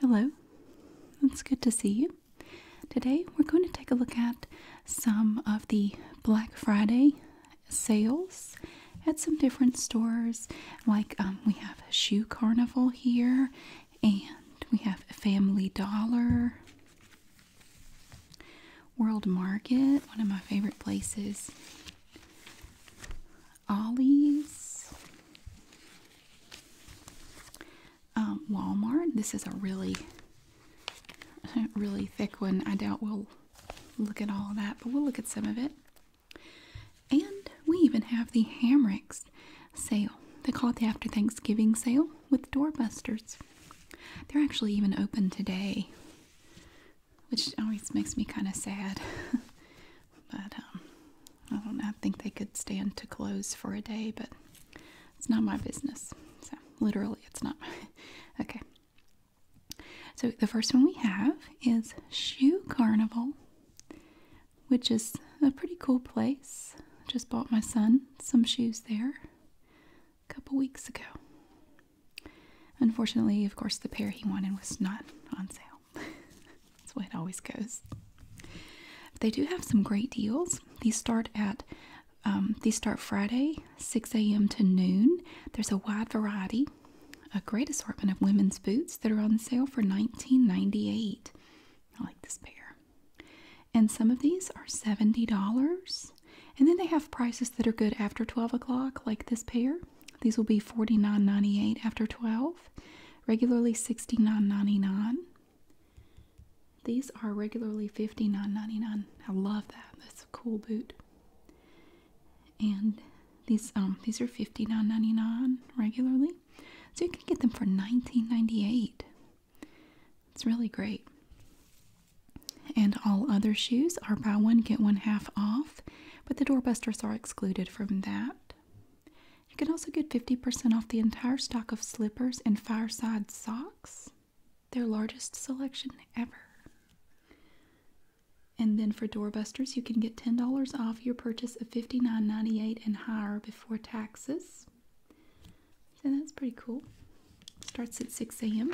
Hello, it's good to see you. Today we're going to take a look at some of the Black Friday sales at some different stores. Like um, we have Shoe Carnival here, and we have Family Dollar, World Market, one of my favorite places. Ollie's, um, Walmart. This is a really, really thick one. I doubt we'll look at all that, but we'll look at some of it. And we even have the Hamricks sale. They call it the After Thanksgiving sale with doorbusters. They're actually even open today, which always makes me kind of sad. But um, I don't think they could stand to close for a day, but it's not my business. So literally, it's not. My okay. So the first one we have is Shoe Carnival, which is a pretty cool place. Just bought my son some shoes there a couple weeks ago. Unfortunately, of course, the pair he wanted was not on sale. That's the way it always goes. They do have some great deals. These start at um, these start Friday, 6 a.m. to noon. There's a wide variety, a great assortment of women's boots that are on sale for $19.98. I like this pair. And some of these are $70. And then they have prices that are good after 12 o'clock, like this pair. These will be $49.98 after 12 regularly $69.99. These are regularly $59.99. I love that. That's a cool boot. And these um these are $59.99 regularly. So you can get them for $19.98. It's really great. And all other shoes are buy one, get one half off, but the doorbusters are excluded from that. You can also get 50% off the entire stock of slippers and fireside socks, their largest selection ever. And then for doorbusters, you can get $10 off your purchase of $59.98 and higher before taxes. So that's pretty cool. Starts at 6 a.m.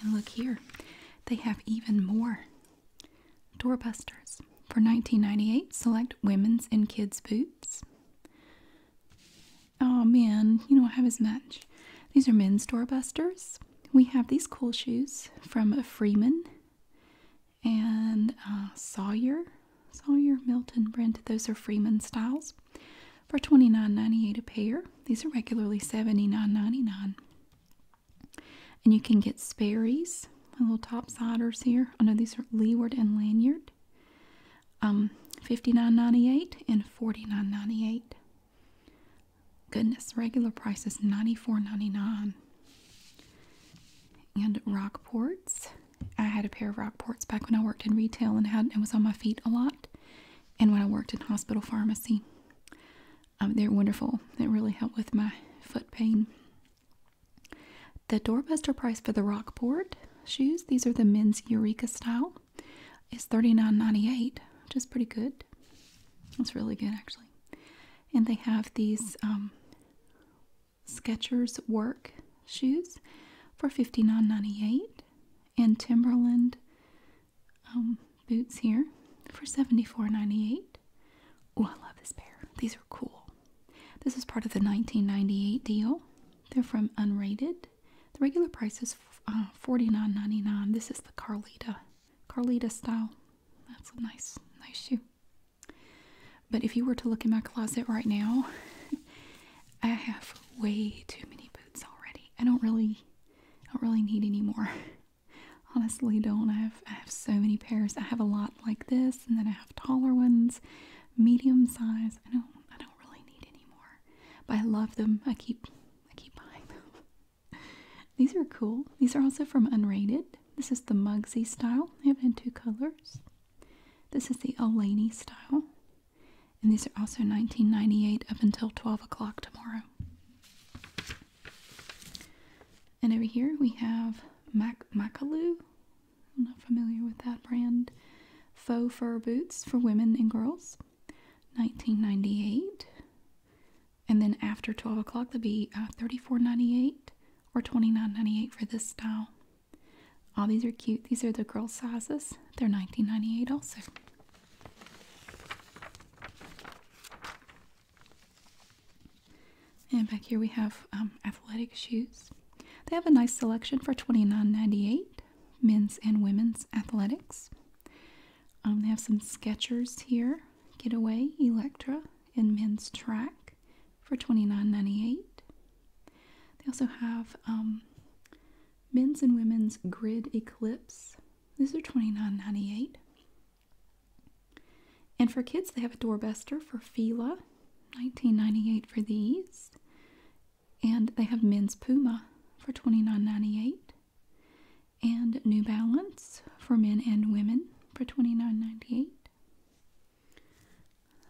And look here, they have even more Doorbusters. For 1998, select women's and kids' boots. Oh man, you don't have as much. These are men's doorbusters. We have these cool shoes from Freeman and uh, Sawyer. Sawyer, Milton, Brent. Those are Freeman styles. For 29.98 a pair. These are regularly 79.99. And you can get Sperry's, little topsiders here. I know these are leeward and lanyard. Um, 59 and forty nine ninety eight. Goodness, regular price is ninety four ninety nine. dollars 99 And Rockports. I had a pair of Rockports back when I worked in retail and had and was on my feet a lot. And when I worked in hospital pharmacy. Um, they're wonderful. They really help with my foot pain. The doorbuster price for the Rockport shoes, these are the men's Eureka style, is $39.98, which is pretty good. That's really good actually. And they have these um, Skechers work shoes for $59.98 and Timberland um, boots here for $74.98. Oh, I love this pair. These are cool. This is part of the 1998 deal. They're from Unrated. The regular price is uh, $49.99. This is the Carlita, Carlita style. That's a nice, nice shoe. But if you were to look in my closet right now, I have way too many boots already. I don't really, I don't really need any more. honestly don't. I have, I have so many pairs. I have a lot like this, and then I have taller ones, medium size. I don't I don't really need any more, but I love them. I keep I keep buying them. These are cool. These are also from Unrated. This is the Mugsy style. I have it in two colors. This is the Olaney style. And these are also 1998 up until 12 o'clock tomorrow. And over here we have Mac Macaloo. I'm not familiar with that brand. Faux fur boots for women and girls, 1998. And then after 12 o'clock, they'll be uh, 34.98 or 29.98 for this style. All these are cute. These are the girl sizes. They're 19.98 also. And back here we have um, athletic shoes. They have a nice selection for $29.98, men's and women's athletics. Um, they have some Skechers here, Getaway, Electra, and men's track for $29.98. They also have um, men's and women's grid eclipse. These are $29.98. And for kids, they have a doorbuster for Fila, 1998 for these. And they have men's Puma for 29.98 and New Balance for men and women for 29.98.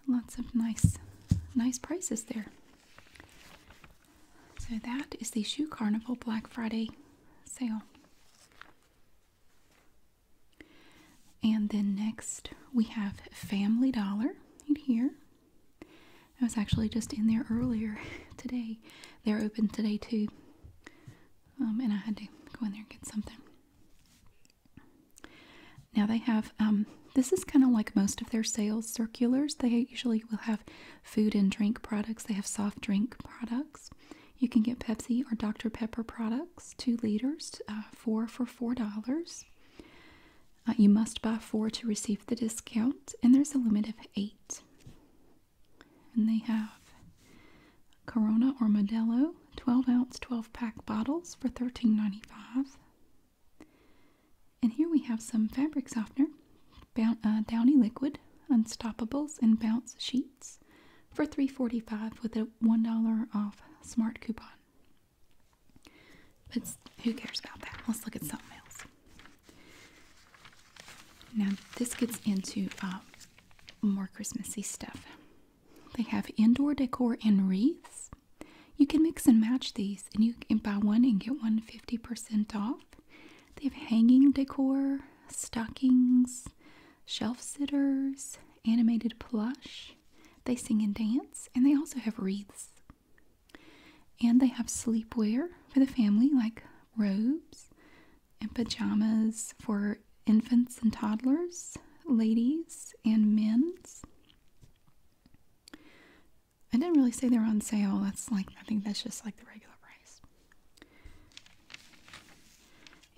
Lots of nice nice prices there. So that is the Shoe Carnival Black Friday sale. And then next we have Family Dollar in here. I was actually just in there earlier today. They're open today too. Um, and I had to go in there and get something. Now they have, um, this is kind of like most of their sales circulars. They usually will have food and drink products, they have soft drink products. You can get Pepsi or Dr. Pepper products, two liters, uh, four for $4. Uh, you must buy four to receive the discount, and there's a limit of eight. And they have Corona or Modelo, 12 ounce, 12 pack bottles for $13.95. And here we have some fabric softener, bound, uh, Downy Liquid, Unstoppables, and Bounce sheets for $3.45 with a $1 off smart coupon. But who cares about that? Let's look at something else. Now, this gets into um, more Christmassy stuff. They have indoor decor and wreaths. You can mix and match these, and you can buy one and get one 50% off. They have hanging decor, stockings, shelf sitters, animated plush. They sing and dance, and they also have wreaths. And they have sleepwear for the family, like robes and pajamas for infants and toddlers, ladies and men's. I didn't really say they're on sale. That's like, I think that's just like the regular price.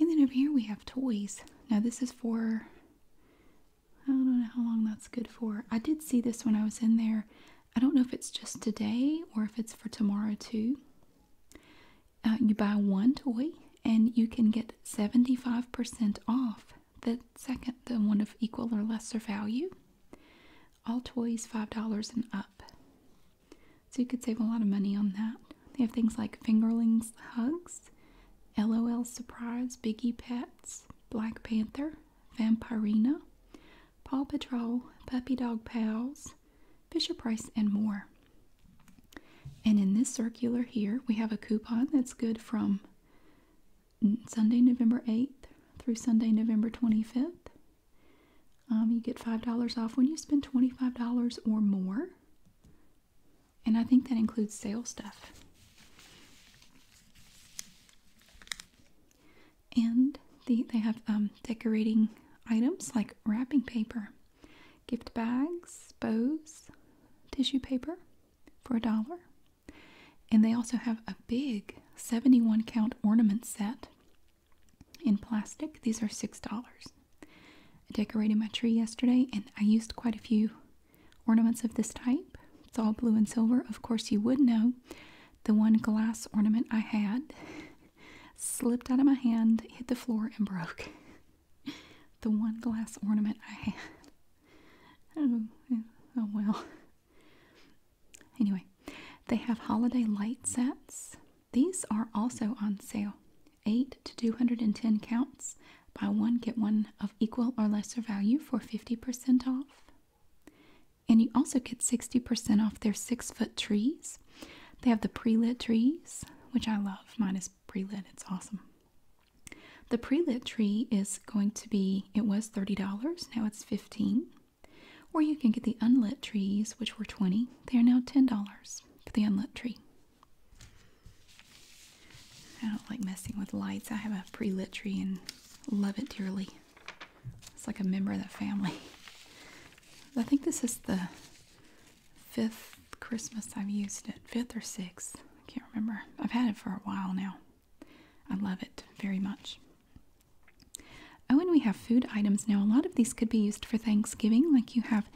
And then over here we have toys. Now this is for I don't know how long that's good for. I did see this when I was in there. I don't know if it's just today or if it's for tomorrow too. Uh, you buy one toy and you can get 75% off the second, the one of equal or lesser value. All toys $5 and up. So you could save a lot of money on that. They have things like Fingerlings Hugs, LOL Surprise, Biggie Pets, Black Panther, Vampirina, Paw Patrol, Puppy Dog Pals, Fisher Price, and more. And in this circular here, we have a coupon that's good from Sunday, November 8th through Sunday, November 25th. Um, you get $5 off when you spend $25 or more. And I think that includes sale stuff. And the, they have um, decorating items like wrapping paper, gift bags, bows, tissue paper for a dollar. And they also have a big 71 count ornament set in plastic. These are $6. I decorated my tree yesterday and I used quite a few ornaments of this type. It's all blue and silver. Of course, you would know the one glass ornament I had slipped out of my hand, hit the floor, and broke. the one glass ornament I had. Oh, oh well. Anyway, they have holiday light sets these are also on sale. 8 to 210 counts. Buy one, get one of equal or lesser value for 50% off. And you also get 60% off their six foot trees. They have the pre lit trees, which I love. Mine is pre lit, it's awesome. The pre lit tree is going to be, it was $30, now it's 15 Or you can get the unlit trees, which were 20 They are now $10 for the unlit tree. I don't like messing with lights. I have a pre-lit tree and love it dearly. It's like a member of the family. I think this is the fifth Christmas I've used it. Fifth or sixth. I can't remember. I've had it for a while now. I love it very much. Oh, and we have food items now. A lot of these could be used for Thanksgiving, like you have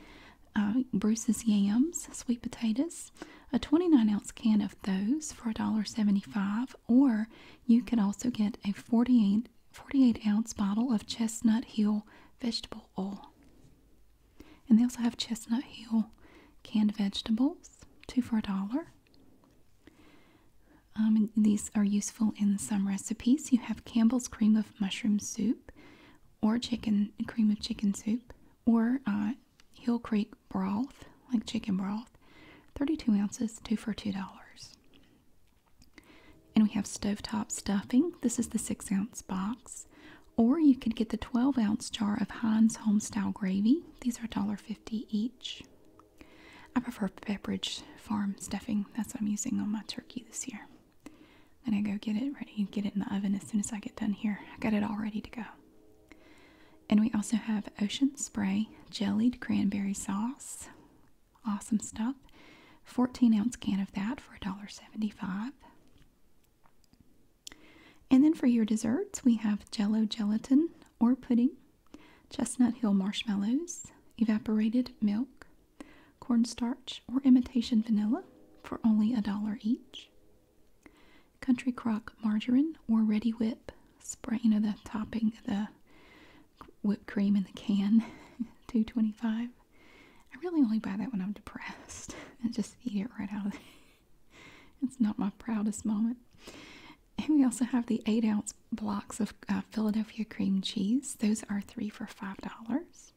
uh, Bruce's yams, sweet potatoes, a 29 ounce can of those for $1.75, or you could also get a 48, ounce bottle of Chestnut Hill vegetable oil. And they also have Chestnut Hill canned vegetables, two for a dollar. Um, these are useful in some recipes. You have Campbell's Cream of mushroom soup or chicken cream of chicken soup or uh, Hill Creek broth, like chicken broth, 32 ounces, two for $2. And we have stovetop stuffing. This is the six ounce box. Or you could get the 12 ounce jar of Heinz Homestyle gravy. These are $1.50 each. I prefer Pepperidge Farm stuffing. That's what I'm using on my turkey this year. Then I go get it ready get it in the oven as soon as I get done here. I got it all ready to go. And we also have Ocean Spray Jellied Cranberry Sauce. Awesome stuff. 14 ounce can of that for a dollar seventy five. And then for your desserts, we have Jello Gelatin or Pudding, Chestnut Hill Marshmallows, Evaporated Milk, cornstarch or imitation vanilla for only a dollar each, country crock margarine or ready whip spray you know the topping the whipped cream in the can 225 I really only buy that when I'm depressed and just eat it right out of it. It's not my proudest moment. And we also have the eight ounce blocks of uh, Philadelphia cream cheese. Those are three for five dollars.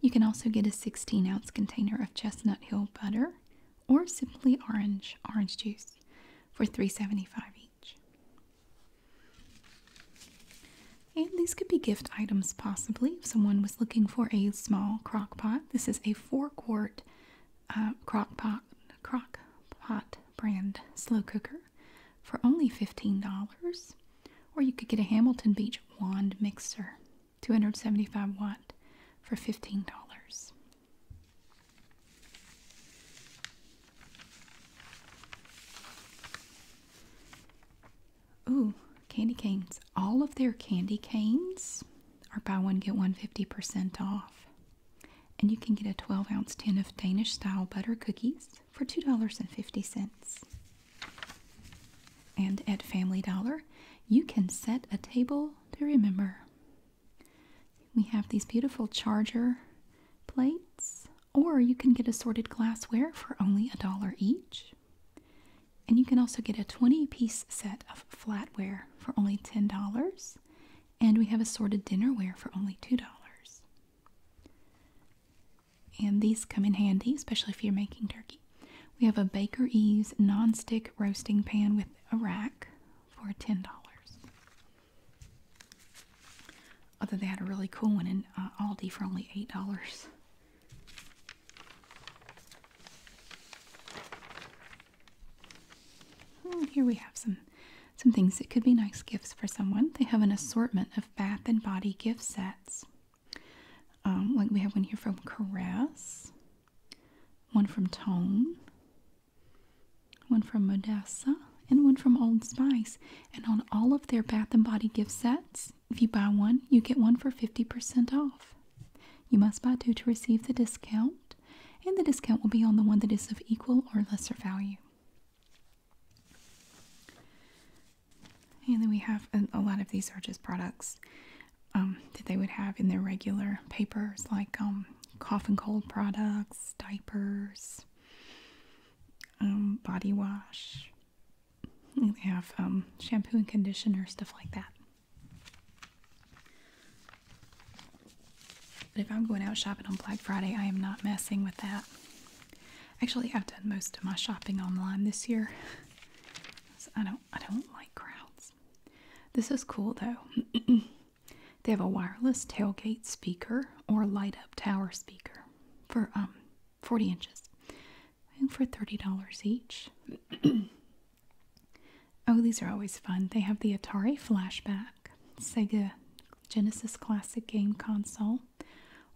You can also get a 16 ounce container of Chestnut Hill butter or simply orange orange juice for three seventy-five each. And these could be gift items possibly if someone was looking for a small crock pot. This is a four quart uh, crock pot crock pot brand slow cooker for only $15. Or you could get a Hamilton Beach wand mixer, 275 watt, for $15. Ooh, candy canes. All of their candy canes are buy one, get one fifty percent off. And you can get a 12 ounce tin of Danish style butter cookies for $2.50. And at Family Dollar, you can set a table to remember. We have these beautiful charger plates, or you can get assorted glassware for only a dollar each. And you can also get a 20 piece set of flatware for only $10. And we have assorted dinnerware for only $2 and these come in handy, especially if you're making turkey. We have a Baker Eves non-stick roasting pan with a rack for $10. Other, they had a really cool one in uh, Aldi for only $8. Hmm, here we have some some things that could be nice gifts for someone. They have an assortment of bath and body gift sets. Um, like we have one here from Caress, one from Tone, one from Modessa, and one from Old Spice. And on all of their bath and body gift sets, if you buy one, you get one for 50% off. You must buy two to receive the discount, and the discount will be on the one that is of equal or lesser value. And then we have a, lot of these are just products um, that they would have in their regular papers, like um, cough and cold products, diapers, um, body wash. And have shampoo and conditioner, stuff like that. But if I'm going out shopping on Black Friday, I am not messing with that. Actually, I've done most of my shopping online this year. I don't I don't like crowds. This is cool though. they have a wireless tailgate speaker or light up tower speaker for um 40 inches. And for $30 each. oh, these are always fun. They have the Atari Flashback, Sega Genesis Classic Game Console,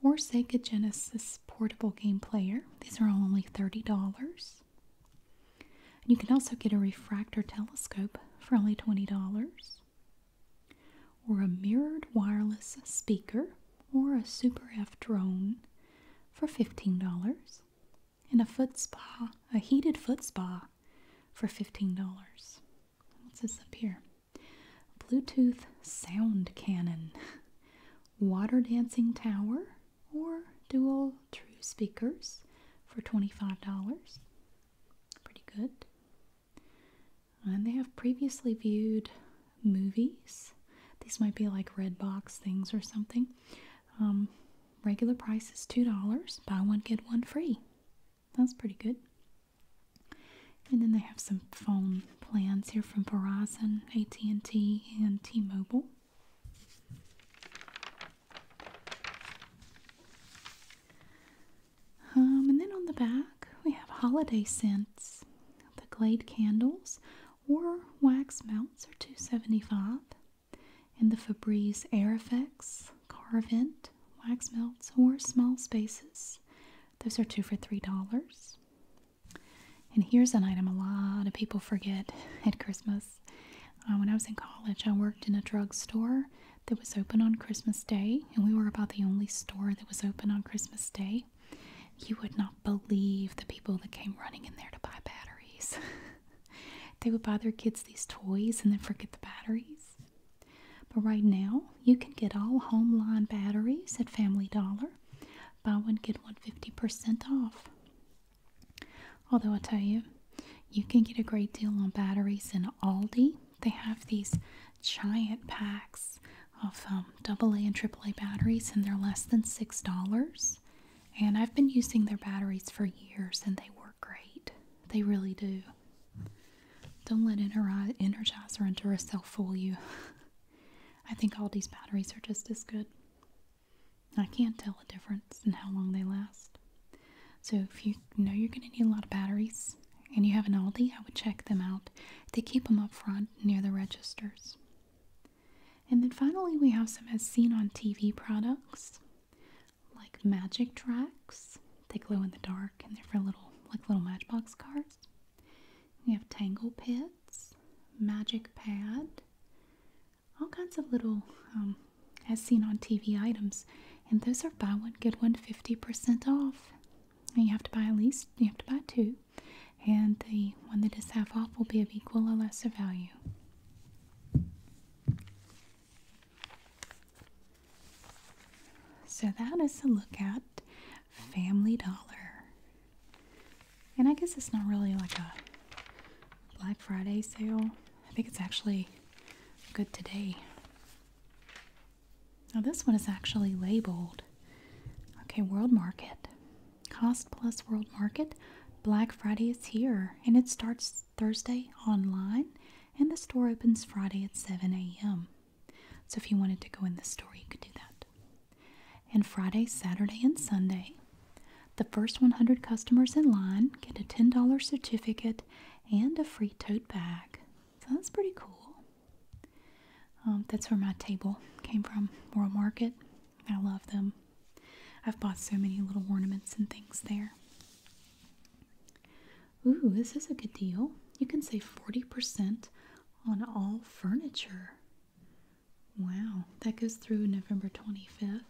or Sega Genesis Portable Game Player. These are only $30. You can also get a refractor telescope for only $20, or a mirrored wireless speaker, or a Super F drone for $15, and a foot spa, a heated foot spa for $15. What's this up here? Bluetooth sound cannon, water dancing tower, or dual true speakers for $25. Pretty good. And they have previously viewed movies. These might be like Redbox things or something. Um, regular price is $2. Buy one, get one free. That's pretty good. And then they have some phone plans here from Verizon, AT&T, and T-Mobile. Um, and then on the back, we have holiday scents. The Glade candles or wax melts are two seventy-five, And the Febreze Air Effects Car Carvent wax melts for small spaces those are two for $3. And here's an item a lot of people forget at Christmas. Uh, when I was in college, I worked in a drugstore that was open on Christmas Day, and we were about the only store that was open on Christmas Day. You would not believe the people that came running in there to buy batteries. they would buy their kids these toys and then forget the batteries. But right now, you can get all home line batteries at Family Dollar. Buy one, get one fifty percent off. Although I tell you, you can get a great deal on batteries in Aldi. They have these giant packs of um, AA and AAA batteries, and they're less than $6. And I've been using their batteries for years, and they work great. They really do. Don't let Energizer and Duracell fool you. I think Aldi's batteries are just as good. I can't tell a difference in how long they last. So if you know you're going to need a lot of batteries and you have an Aldi, I would check them out. They keep them up front near the registers. And then finally, we have some as seen on TV products like magic tracks. They glow in the dark and they're for little like little matchbox cars. We have Tangle Pits, Magic Pad, all kinds of little, um, as seen on TV items. And those are buy one, get one 50% off. And you have to buy at least, you have to buy two. And the one that is half off will be of equal or lesser value. So that is a look at Family Dollar. And I guess it's not really like a Black Friday sale. I think it's actually good today. Now, this one is actually labeled. Okay, World Market. Cost Plus World Market. Black Friday is here and it starts Thursday online and the store opens Friday at 7 a.m. So if you wanted to go in the store, you could do that. And Friday, Saturday, and Sunday, the first 100 customers in line get a $10 certificate and a free tote bag. So that's pretty cool. Um, that's where my table came from, World Market. I love them. I've bought so many little ornaments and things there. Ooh, this is a good deal. You can save 40% on all furniture. Wow, that goes through November 25th.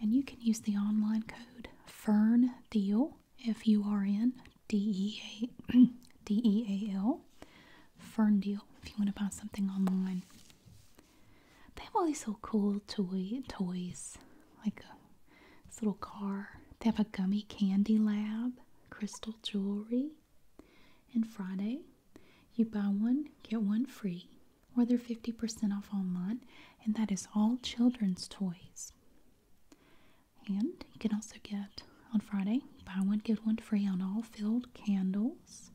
And you can use the online code Fern Deal, F U R N D E A D E A L, Fern Deal, if you want to buy something online. They have all these little cool toy toys, like this little car. They have a gummy candy lab, crystal jewelry, and Friday. You buy one, get one free, or they're 50% off online, and that is all children's toys. And you can also get on Friday, buy one, get one free on all filled candles.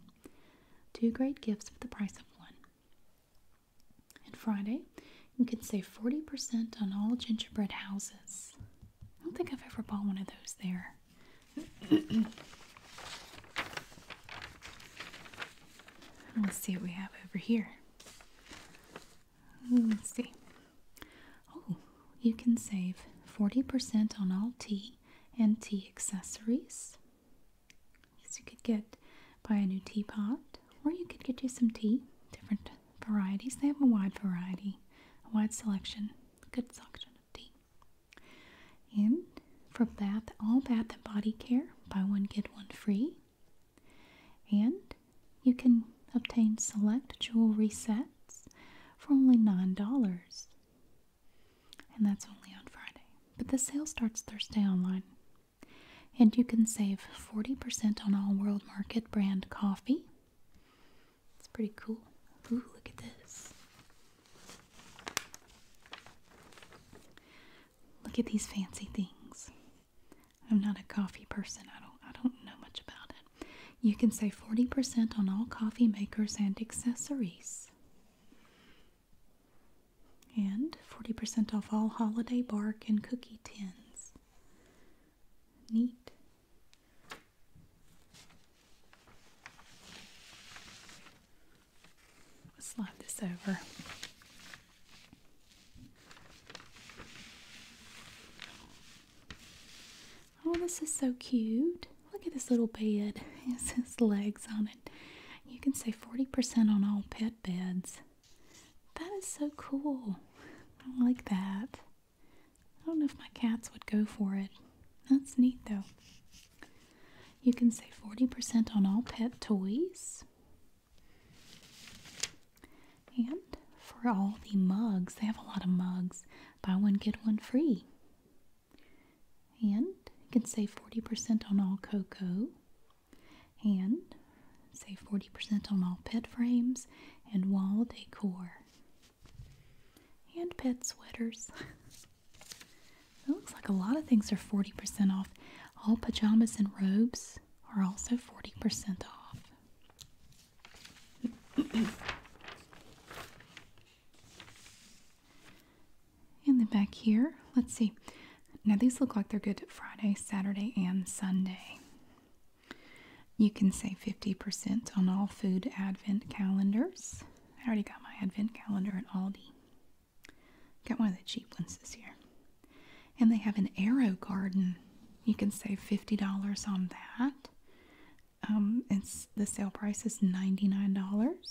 Two great gifts for the price of one. And Friday, you can save 40% on all gingerbread houses. I don't think I've ever bought one of those there. Let's see what we have over here. Hmm, let's see. Oh, you can save 40% on all tea and tea accessories. So you could get buy a new teapot or you could get you some tea, different varieties. They have a wide variety, a wide selection good suction of tea. And for bath, all bath and body care, buy one, get one free. And you can obtain select jewelry sets for only $9. And that's only on Friday. But the sale starts Thursday online. And you can save 40% on all World Market brand coffee it's pretty cool. Ooh, look at this. Look at these fancy things. I'm not a coffee person. I don't I don't know much about it. You can save 40% on all coffee makers and accessories. And 40% off all holiday bark and cookie tins. Neat. Slide this over. Oh, this is so cute. Look at this little bed. It says legs on it. You can save 40% on all pet beds. That is so cool. I like that. I don't know if my cats would go for it. That's neat though. You can save 40% on all pet toys. And for all the mugs, they have a lot of mugs. Buy one, get one free. And you can save 40% on all cocoa. And save 40% on all pet frames and wall decor. And pet sweaters. it looks like a lot of things are 40% off. All pajamas and robes are also 40% off. and then back here, let's see. Now these look like they're good Friday, Saturday, and Sunday. You can save 50% on all food advent calendars. I already got my advent calendar at Aldi. Got one of the cheap ones this year. And they have an arrow garden. You can save $50 on that. Um, it's the sale price is $99.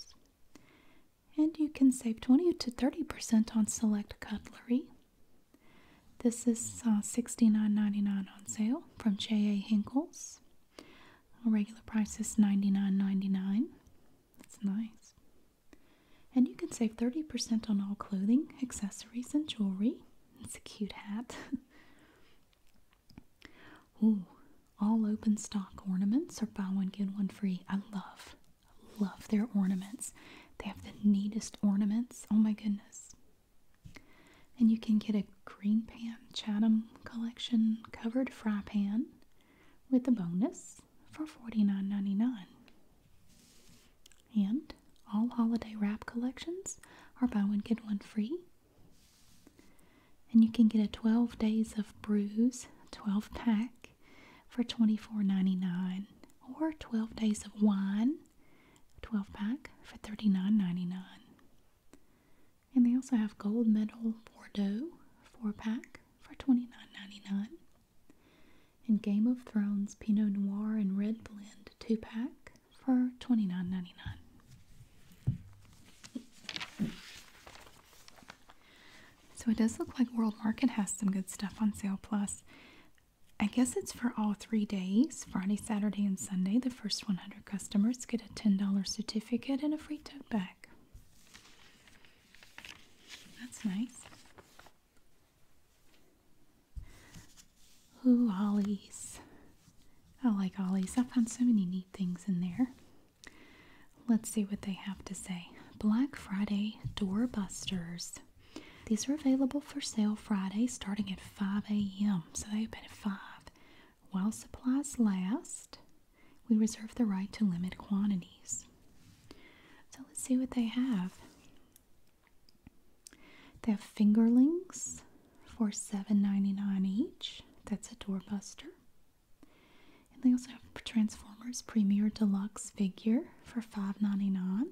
And you can save 20 to 30% on select cutlery. This is uh, $69.99 on sale from J.A. Hinkle's regular price is $99.99. That's nice. And you can save 30% on all clothing, accessories, and jewelry. It's a cute hat. Ooh, all open stock ornaments are buy one, get one free. I love, love their ornaments. They have the neatest ornaments. Oh my goodness. And you can get a green pan Chatham collection covered fry pan with a bonus for $49.99. And all holiday wrap collections are buy one get one free. And you can get a 12 days of brews 12 pack for $24.99 or 12 days of wine 12 pack for $39.99. And they also have Gold Medal Bordeaux 4 pack for $29.99. And Game of Thrones Pinot Noir and Red Blend 2 pack for $29.99. So it does look like World Market has some good stuff on sale. Plus, I guess it's for all three days Friday, Saturday, and Sunday, the first 100 customers get a $10 certificate and a free tote bag. That's nice. Ooh, Ollie's. I like Ollie's. I found so many neat things in there. Let's see what they have to say. Black Friday Doorbusters. These are available for sale Friday starting at 5 a.m. So they open at 5. While supplies last, we reserve the right to limit quantities. So let's see what they have. They have fingerlings for $7.99 each. That's a doorbuster. And they also have Transformers Premier Deluxe figure for $5.99.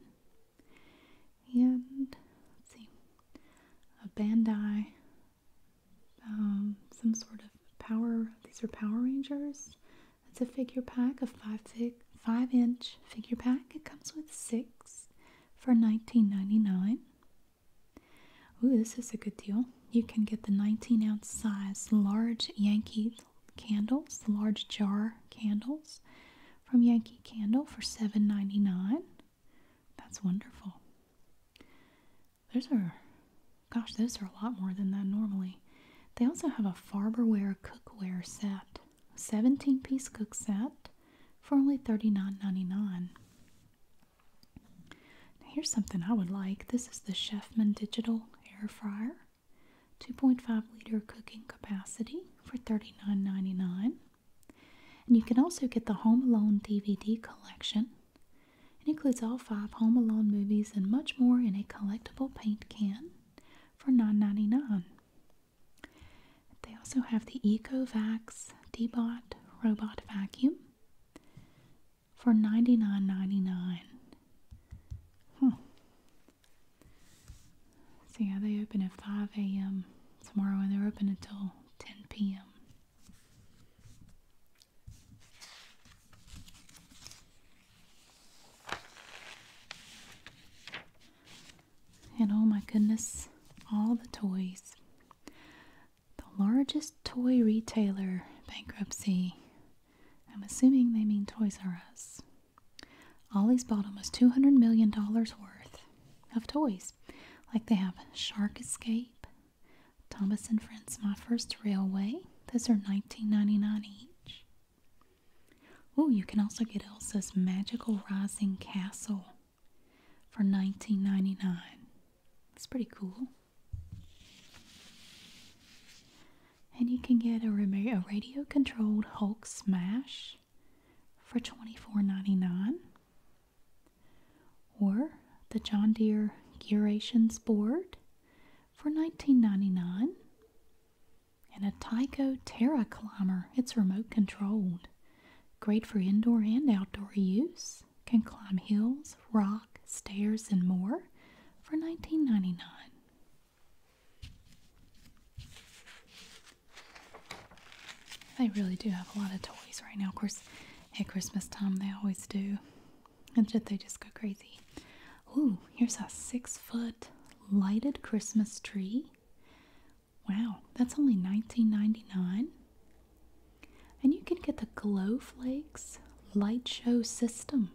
And let's see, a Bandai um, some sort of power. These are Power Rangers. It's a figure pack, a five fig, five inch figure pack. It comes with six for nineteen ninety nine. Ooh, this is a good deal. You can get the 19 ounce size large Yankee candles, large jar candles from Yankee Candle for 7.99. That's wonderful. Those are, gosh, those are a lot more than that normally. They also have a Farberware cookware set, 17 piece cook set for only $39.99. here's something I would like this is the Chefman Digital Air Fryer, 2.5 liter cooking capacity for $39.99. And you can also get the Home Alone DVD collection. It includes all five Home Alone movies and much more in a collectible paint can for $9.99. They also have the EcoVax Debot Robot Vacuum for $99.99. Hmm. So yeah, they open at 5 a.m. tomorrow and they're open until 10 p.m. And oh my goodness, all the toys. The largest toy retailer bankruptcy. I'm assuming they mean Toys R Us. Ollie's bought almost $200 million worth of toys. Like they have Shark Escape, Thomas and Friends My First Railway. Those are $19.99 each. Oh, you can also get Elsa's Magical Rising Castle for $19.99. It's pretty cool. And you can get a, a radio controlled Hulk Smash for $24.99 or the John Deere Gerations board for 1999 and a Tyco Terra Climber. It's remote controlled. Great for indoor and outdoor use. Can climb hills, rock, stairs, and more for 1999 they really do have a lot of toys right now. Of course, at Christmas time they always do. And did they just go crazy. Ooh, here's a six foot lighted Christmas tree. Wow, that's only $19.99. And you can get the Glow Flakes light show system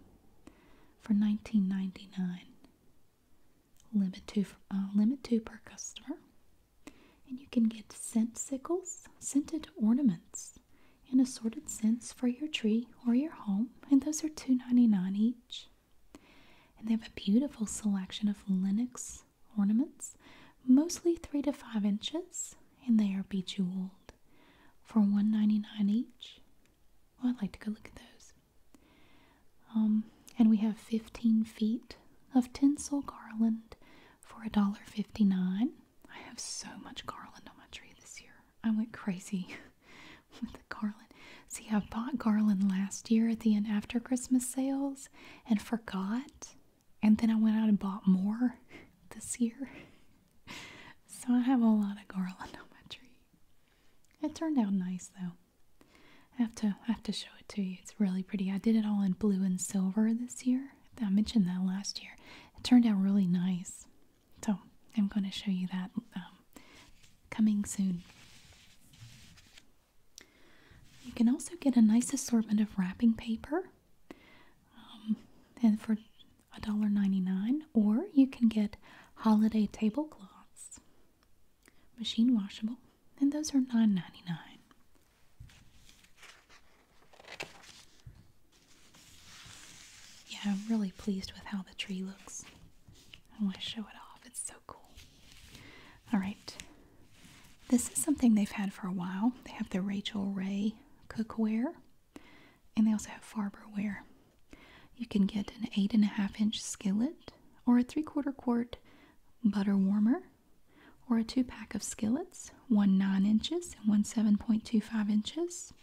for $19.99. Limit two, uh, limit two per customer. And you can get scent sickles, scented ornaments, and assorted scents for your tree or your home, and those are $2.99 each. And they have a beautiful selection of Linux ornaments, mostly 3 to 5 inches, and they are bejeweled for $1.99 each. Well, I'd like to go look at those. Um, and we have 15 feet of tinsel garland for a dollar fifty nine. I have so much garland on my tree this year. I went crazy with the garland. See, I bought garland last year at the end after Christmas sales and forgot. And then I went out and bought more this year. So I have a lot of garland on my tree. It turned out nice though. I have to I have to show it to you. It's really pretty. I did it all in blue and silver this year. I mentioned that last year. It turned out really nice. So I'm going to show you that um, coming soon. You can also get a nice assortment of wrapping paper um, and for $1.99 or you can get holiday tablecloths machine washable and those are 9 yeah, I'm really pleased with how the tree looks. I want to show it off. It's so cool. All right. This is something they've had for a while. They have the Rachel Ray cookware, and they also have Farberware. You can get an eight and a half inch skillet or a three quarter quart butter warmer or a two pack of skillets, one 9 inches and one 7.25 inches.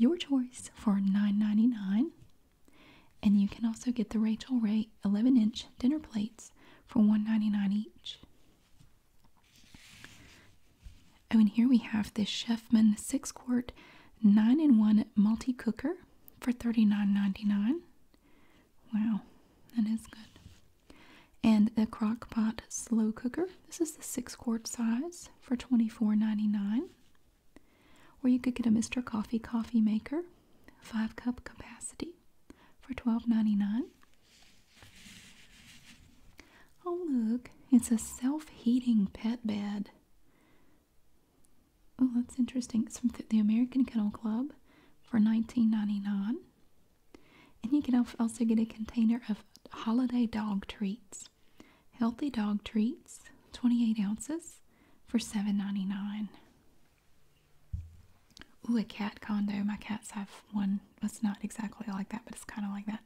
Your choice for nine ninety nine. And you can also get the Rachel Ray 11 inch dinner plates for $1.99 each. Oh, and here we have this Chefman 6 quart 9 in 1 multi cooker for thirty-nine ninety-nine. Wow, that is good. And the Crock-Pot Slow Cooker. This is the six quart size for $24.99. Or you could get a Mr. Coffee Coffee Maker, five cup capacity for $12.99. Oh, look, it's a self heating pet bed. Oh, that's interesting. It's from the American Kennel Club for $19.99. And you can also get a container of holiday dog treats. Healthy dog treats, 28 ounces for $7.99. Ooh, a cat condo. My cats have one that's not exactly like that, but it's kind of like that.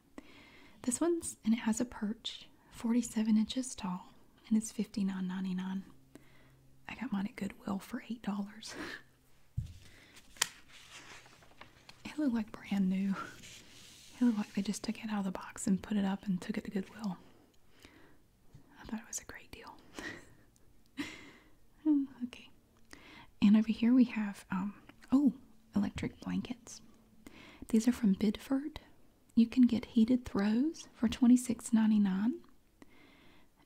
This one's, and it has a perch, 47 inches tall, and it's $59.99. I got mine at Goodwill for $8. It looked like brand new. It looked like they just took it out of the box and put it up and took it to Goodwill. I thought it was a great deal. Oh, okay. And over here we have, um, oh, electric blankets. These are from Bidford. You can get heated throws for $26.99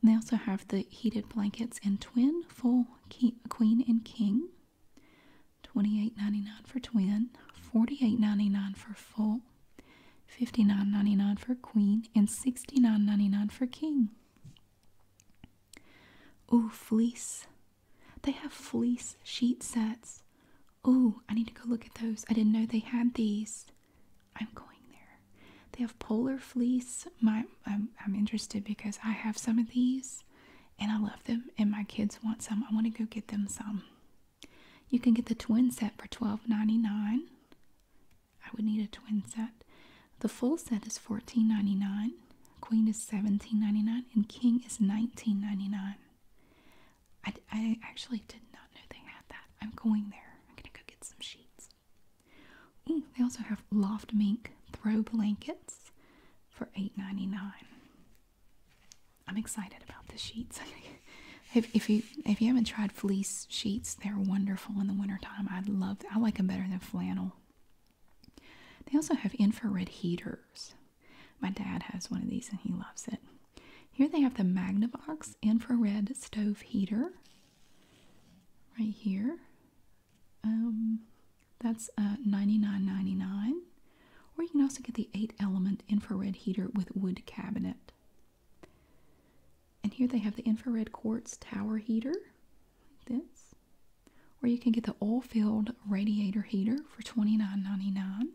they also have the heated blankets in twin, full queen and king. Twenty eight ninety nine for twin, forty eight ninety nine for full, fifty nine ninety nine for queen, and sixty nine ninety nine for king. Ooh, fleece. They have fleece sheet sets. Ooh, I need to go look at those. I didn't know they had these. I'm going there. They have polar fleece. My I'm, interested because I have some of these and I love them and my kids want some. I want to go get them some. You can get the twin set for $12.99. I would need a twin set. The full set is $14.99. Queen is $17.99 and King is $19.99. I, I actually did not know they had that. I'm going there. I'm going to go get some sheets they also have Loft Mink throw blankets for $8.99. I'm excited about the sheets. if, you if you haven't tried fleece sheets, they're wonderful in the wintertime. I love I like them better than flannel. They also have infrared heaters. My dad has one of these and he loves it. Here they have the Magnavox infrared stove heater right here um, that's uh, $99.99. Or you can also get the 8 element infrared heater with wood cabinet. And here they have the infrared quartz tower heater, like this. Or you can get the oil filled radiator heater for $29.99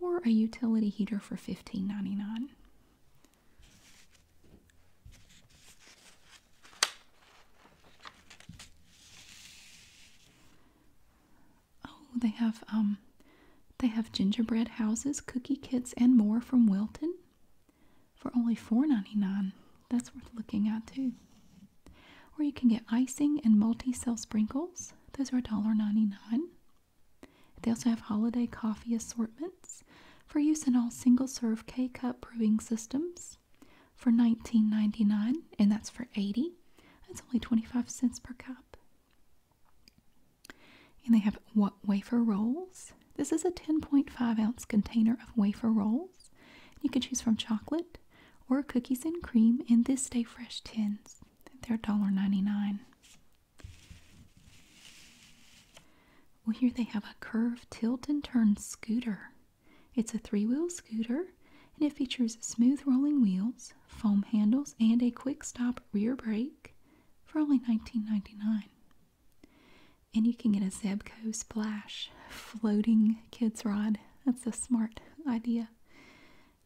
or a utility heater for $15.99. Oh, they have um they have gingerbread houses, cookie kits, and more from Wilton for only $4.99. That's worth looking at too. Or you can get icing and multi-cell sprinkles. Those are $1.99. They also have holiday coffee assortments, for use in all single serve K cup brewing systems for $19.99, and that's for 80. That's only 25 cents per cup. And they have what wafer rolls. This is a 10.5 ounce container of wafer rolls. You can choose from chocolate or cookies and cream in this day Fresh tins. They're $1.99. Well, here they have a curved tilt and turn scooter. It's a three wheel scooter and it features smooth rolling wheels, foam handles, and a quick stop rear brake for only $19.99. And you can get a Zebco Splash floating kids rod. That's a smart idea.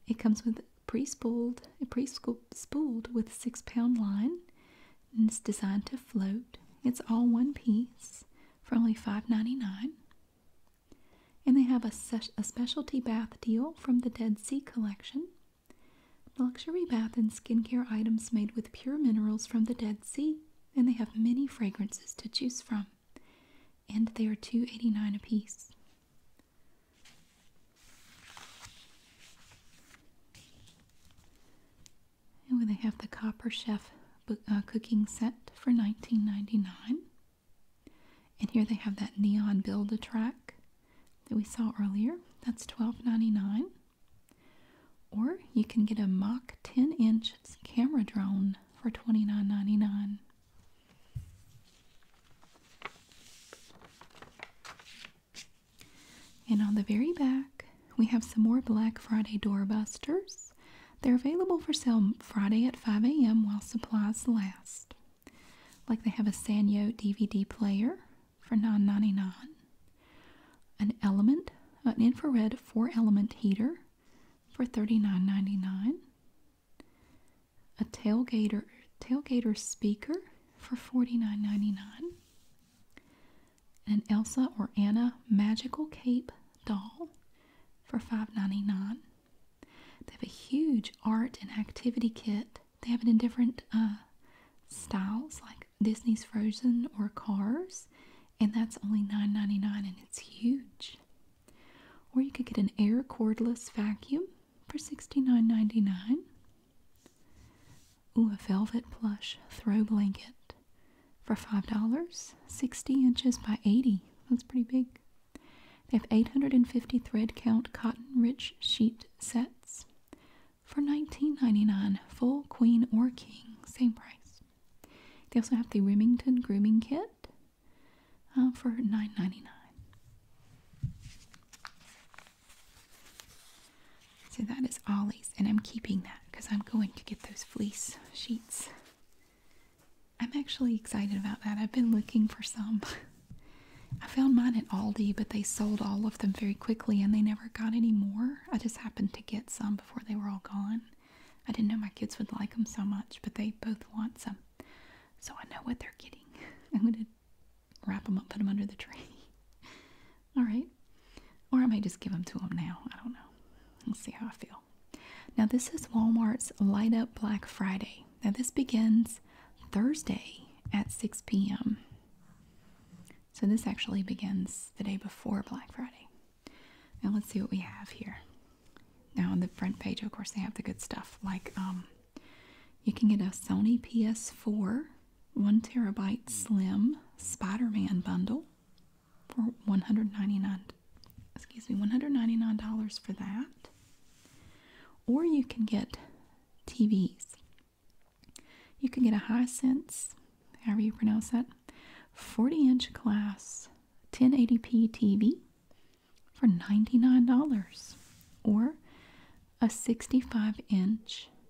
It comes with pre-spooled, pre-spooled with six pound line, and it's designed to float. It's all one piece for only $5.99. And they have a, a specialty bath deal from the Dead Sea Collection. Luxury bath and skincare items made with pure minerals from the Dead Sea, and they have many fragrances to choose from. And they are $2.89 a piece. And they have the Copper Chef uh, cooking set for $19.99. And here they have that neon build a track that we saw earlier. That's $12.99. Or you can get a mock 10 inch camera drone for $29.99. And on the very back, we have some more Black Friday doorbusters. They're available for sale Friday at 5 a.m. while supplies last. Like they have a Sanyo DVD player for $9.99, an element, an infrared four-element heater for $39.99, a tailgater tailgater speaker for $49.99, an Elsa or Anna magical cape doll for $5.99. They have a huge art and activity kit. They have it in different uh, styles like Disney's Frozen or Cars, and that's only $9.99 and it's huge. Or you could get an air cordless vacuum for $69.99. Ooh, a velvet plush throw blanket for $5. 60 inches by 80. That's pretty big. They have 850 thread count cotton rich sheet sets for $19.99. Full queen or king. Same price. They also have the Remington grooming kit uh, for $9.99. So that is Ollie's, and I'm keeping that because I'm going to get those fleece sheets. I'm actually excited about that. I've been looking for some. I found mine at Aldi, but they sold all of them very quickly and they never got any more. I just happened to get some before they were all gone. I didn't know my kids would like them so much, but they both want some. So I know what they're getting. I'm going to wrap them up, put them under the tree. All right. Or I may just give them to them now. I don't know. Let's see how I feel. Now, this is Walmart's Light Up Black Friday. Now, this begins Thursday at 6 p.m. So, this actually begins the day before Black Friday. Now, let's see what we have here. Now, on the front page, of course, they have the good stuff like um, you can get a Sony PS4 one terabyte slim Spider Man bundle for 199 excuse me $199 for that or you can get TVs you can get a high sense, however you pronounce that 40 inch class, 1080p TV for $99 or a 65 inch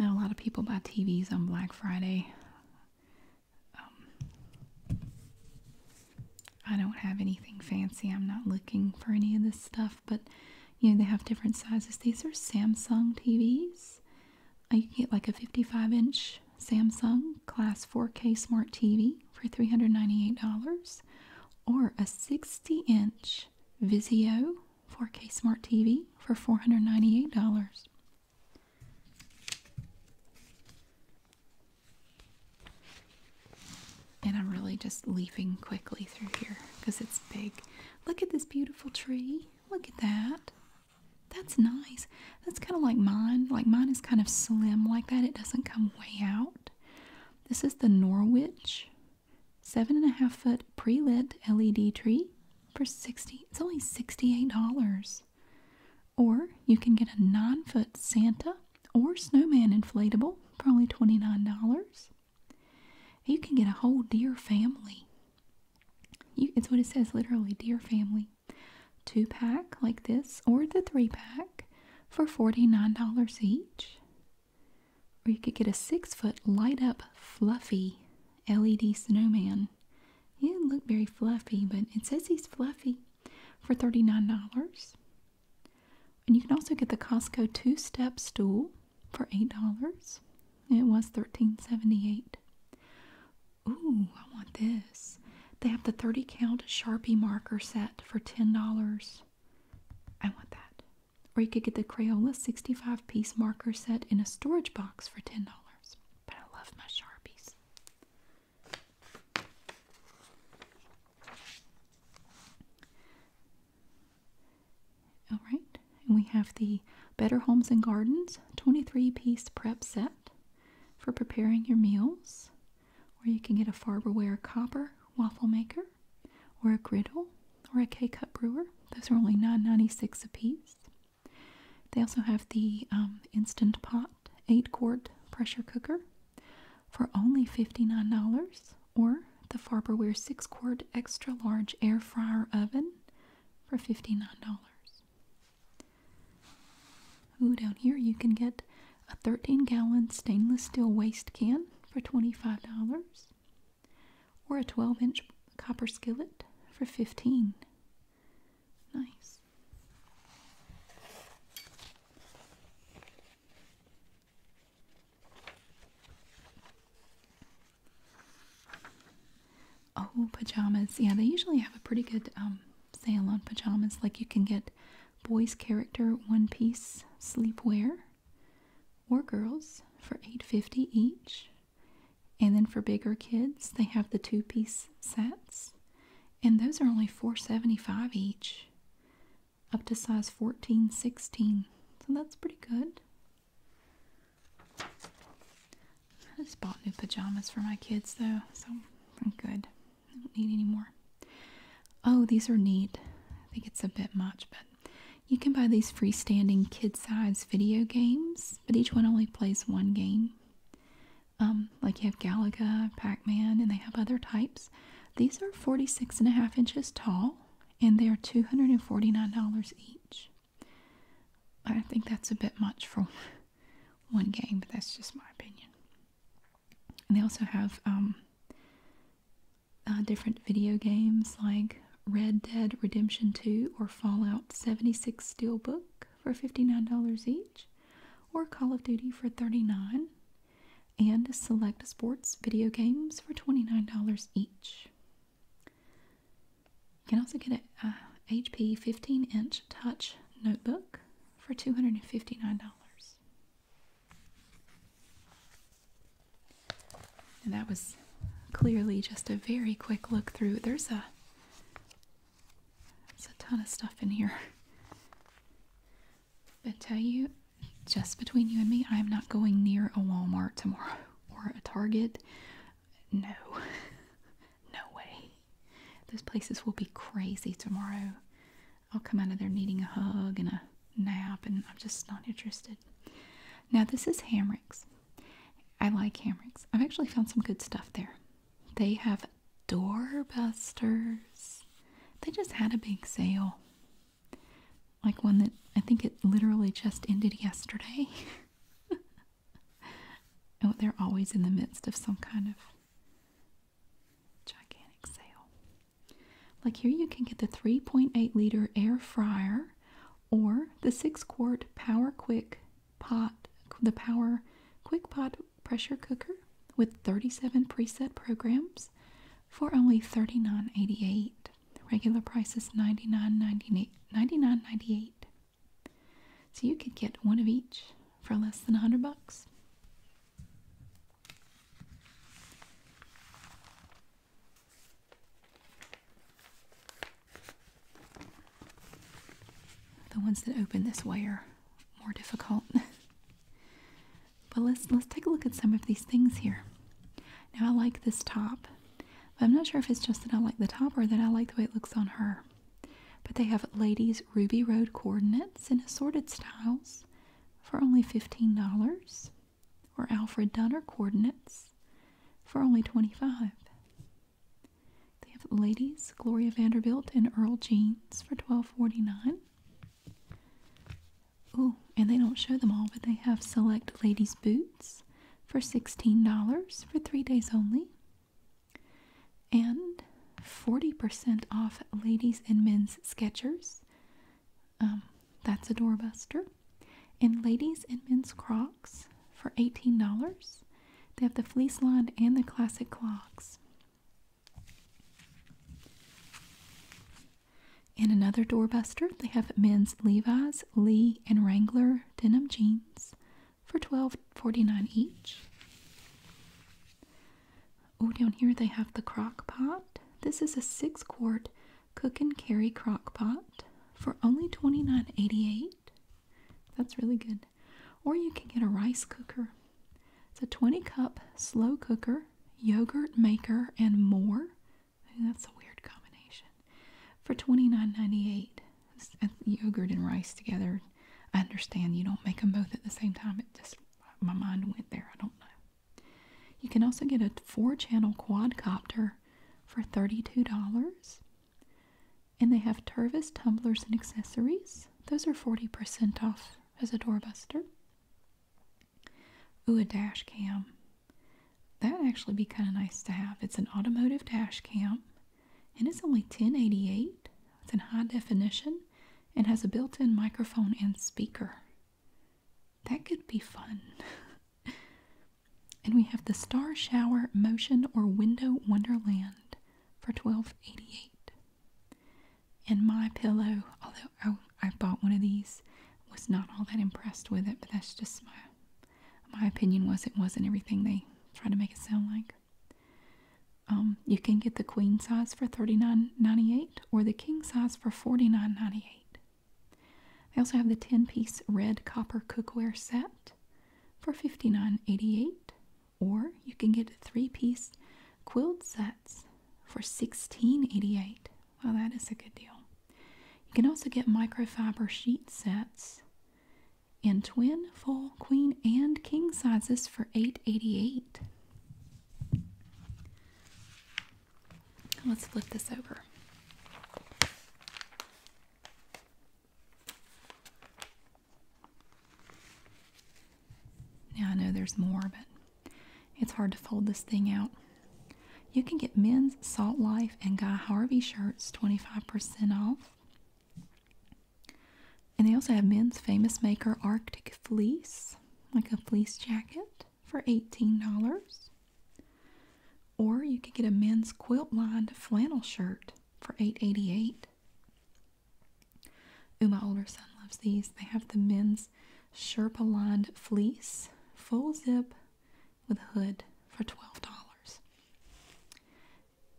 a lot of people buy TVs on Black Friday. Um, I don't have anything fancy. I'm not looking for any of this stuff, but you know, they have different sizes. These are Samsung TVs. Uh, you get like a 55 inch Samsung Class 4K Smart TV for $398 or a 60 inch Vizio 4K Smart TV for $498. And I'm really just leafing quickly through here because it's big. Look at this beautiful tree. Look at that. That's nice. That's kind of like mine. Like mine is kind of slim like that. It doesn't come way out. This is the Norwich seven and a half foot pre-lit LED tree for 60 it's only $68 or you can get a nine foot Santa or snowman inflatable for only $29 you can get a whole deer family it's what it says literally deer family two pack like this or the three pack for $49 each or you could get a six foot light up fluffy LED snowman. He didn't look very fluffy, but it says he's fluffy for $39. And you can also get the Costco two-step stool for $8. It was thirteen seventy eight. dollars 78 Ooh, I want this. They have the 30 count Sharpie marker set for $10. I want that. Or you could get the Crayola 65 piece marker set in a storage box for $10. But I love my Sharpies. All right, and we have the Better Homes and Gardens 23 piece prep set for preparing your meals. Or you can get a Farberware copper waffle maker, or a griddle, or a K cup brewer. Those are only $9.96 a piece. They also have the um, Instant Pot 8 quart pressure cooker for only $59, or the Farberware 6 quart extra large air fryer oven for $59. Ooh, down here you can get a 13 gallon stainless steel waste can for $25 or a 12 inch copper skillet for 15 nice oh pajamas yeah they usually have a pretty good um, sale on pajamas like you can get boys character one piece sleepwear or girls for 850 each and then for bigger kids, they have the two piece sets. And those are only $4.75 each, up to size 14, 16. So that's pretty good. I just bought new pajamas for my kids though, so I'm good. I don't need any more. Oh, these are neat. I think it's a bit much, but you can buy these freestanding kid sized video games, but each one only plays one game. Um, like you have Galaga, Pac-Man, and they have other types. These are 46 and a half inches tall, and they are $249 each. I think that's a bit much for one game, but that's just my opinion. And they also have um, uh, different video games like Red Dead Redemption 2 or Fallout 76 Steelbook for $59 each, or Call of Duty for $39, and Select Sports video games for $29 each. You can also get a HP 15-inch touch notebook for $259. And that was clearly just a very quick look through. There's a there's a ton of stuff in here. But tell you, just between you and me, I'm not going near a Walmart tomorrow or a Target. No. no way. Those places will be crazy tomorrow. I'll come out of there needing a hug and a nap, and I'm just not interested. Now, this is Hamrick's. I like Hamrick's. I've actually found some good stuff there. They have doorbusters. They just had a big sale. Like one that I think it literally just ended yesterday. oh, they're always in the midst of some kind of gigantic sale. Like here you can get the 3.8 liter air fryer or the 6 quart Power Quick pot the Power Quick Pot pressure cooker with 37 preset programs for only $39.88. Regular price is $99.98. 99 dollars 98 so you could get one of each for less than 100 bucks. The ones that open this way are more difficult. but let's let's take a look at some of these things here. Now I like this top. But I'm not sure if it's just that I like the top or that I like the way it looks on her. But they have ladies Ruby Road coordinates in assorted styles for only $15 or Alfred Dunner coordinates for only 25 They have ladies Gloria Vanderbilt and Earl Jeans for 12.49. Oh, and they don't show them all, but they have select ladies boots for $16 for 3 days only. And 40% off ladies and men's sketchers. Um, that's a doorbuster in ladies and men's crocs for $18. They have the fleece lined and the classic clogs. In another doorbuster, they have men's Levi's, Lee, and Wrangler denim jeans for $12.49 each. Oh, down here they have the crock pot. This is a six quart cook and carry crock pot for only $29.88. That's really good. Or you can get a rice cooker. It's a 20 cup slow cooker, yogurt maker, and more. That's a weird combination. For $29.98, yogurt and rice together. I understand you don't make them both at the same time. It just, my mind went there. I don't know. You can also get a four channel quadcopter for $32. And they have Tervis tumblers and accessories. Those are 40% off as a doorbuster. Ooh, a dash cam. That'd actually be kind of nice to have. It's an automotive dash cam and it's only 1088. It's in high definition and has a built-in microphone and speaker. That could be fun. And we have the Star Shower Motion or Window Wonderland for twelve eighty-eight. And my pillow, although I bought one of these, was not all that impressed with it, but that's just my my opinion was it wasn't everything they try to make it sound like. Um, you can get the queen size for thirty-nine ninety-eight or the king size for forty-nine ninety-eight. They also have the 10 piece red copper cookware set for $59.88, or you can get three piece quilt sets for $16.88. Well, that is a good deal. You can also get microfiber sheet sets in twin, full, queen, and king sizes for $8.88. Let's flip this over. Now I know there's more, but it's hard to fold this thing out. You can get men's Salt Life and Guy Harvey shirts 25% off. And they also have men's famous maker Arctic Fleece, like a fleece jacket for $18. Or you could get a men's quilt lined flannel shirt for $8.88. my older son loves these. They have the men's Sherpa lined fleece, full zip with hood for $12.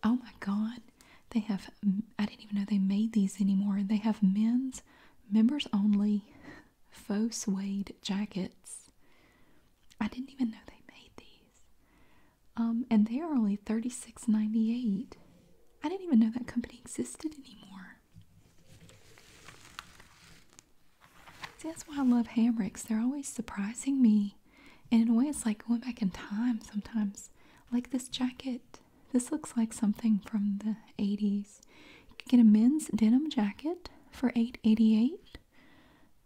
Oh my God. They have, I didn't even know they made these anymore. They have men's members only faux suede jackets. I didn't even know they made these. Um, and they are only $36.98. I didn't even know that company existed anymore. See, that's why I love ham They're always surprising me. And in a way, it's like going back in time sometimes. Like this jacket. This looks like something from the 80s. You can get a men's denim jacket for 8 dollars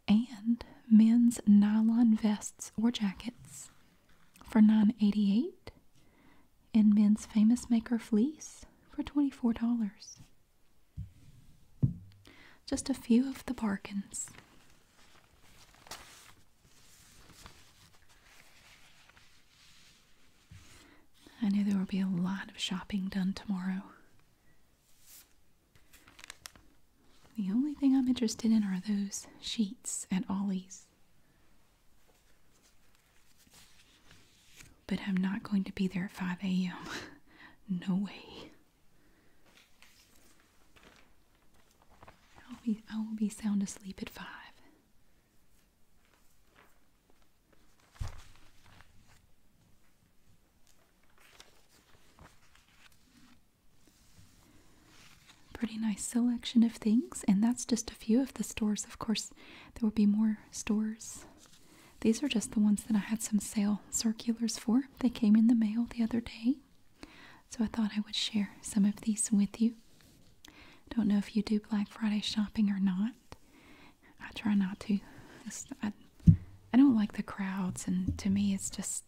and men's nylon vests or jackets for nine eighty-eight, dollars and men's famous maker fleece for $24. Just a few of the bargains. I know there will be a lot of shopping done tomorrow. The only thing I'm interested in are those sheets at Ollie's. But I'm not going to be there at 5 a.m. no way. I'll be, I will be sound asleep at 5. Pretty nice selection of things, and that's just a few of the stores. Of course, there will be more stores. These are just the ones that I had some sale circulars for. They came in the mail the other day, so I thought I would share some of these with you. Don't know if you do Black Friday shopping or not. I try not to. I, I don't like the crowds, and to me, it's just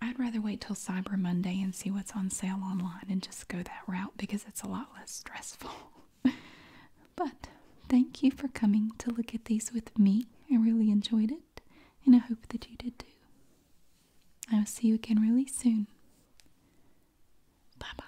I'd rather wait till Cyber Monday and see what's on sale online and just go that route because it's a lot less stressful. but thank you for coming to look at these with me. I really enjoyed it and I hope that you did too. I will see you again really soon. Bye bye.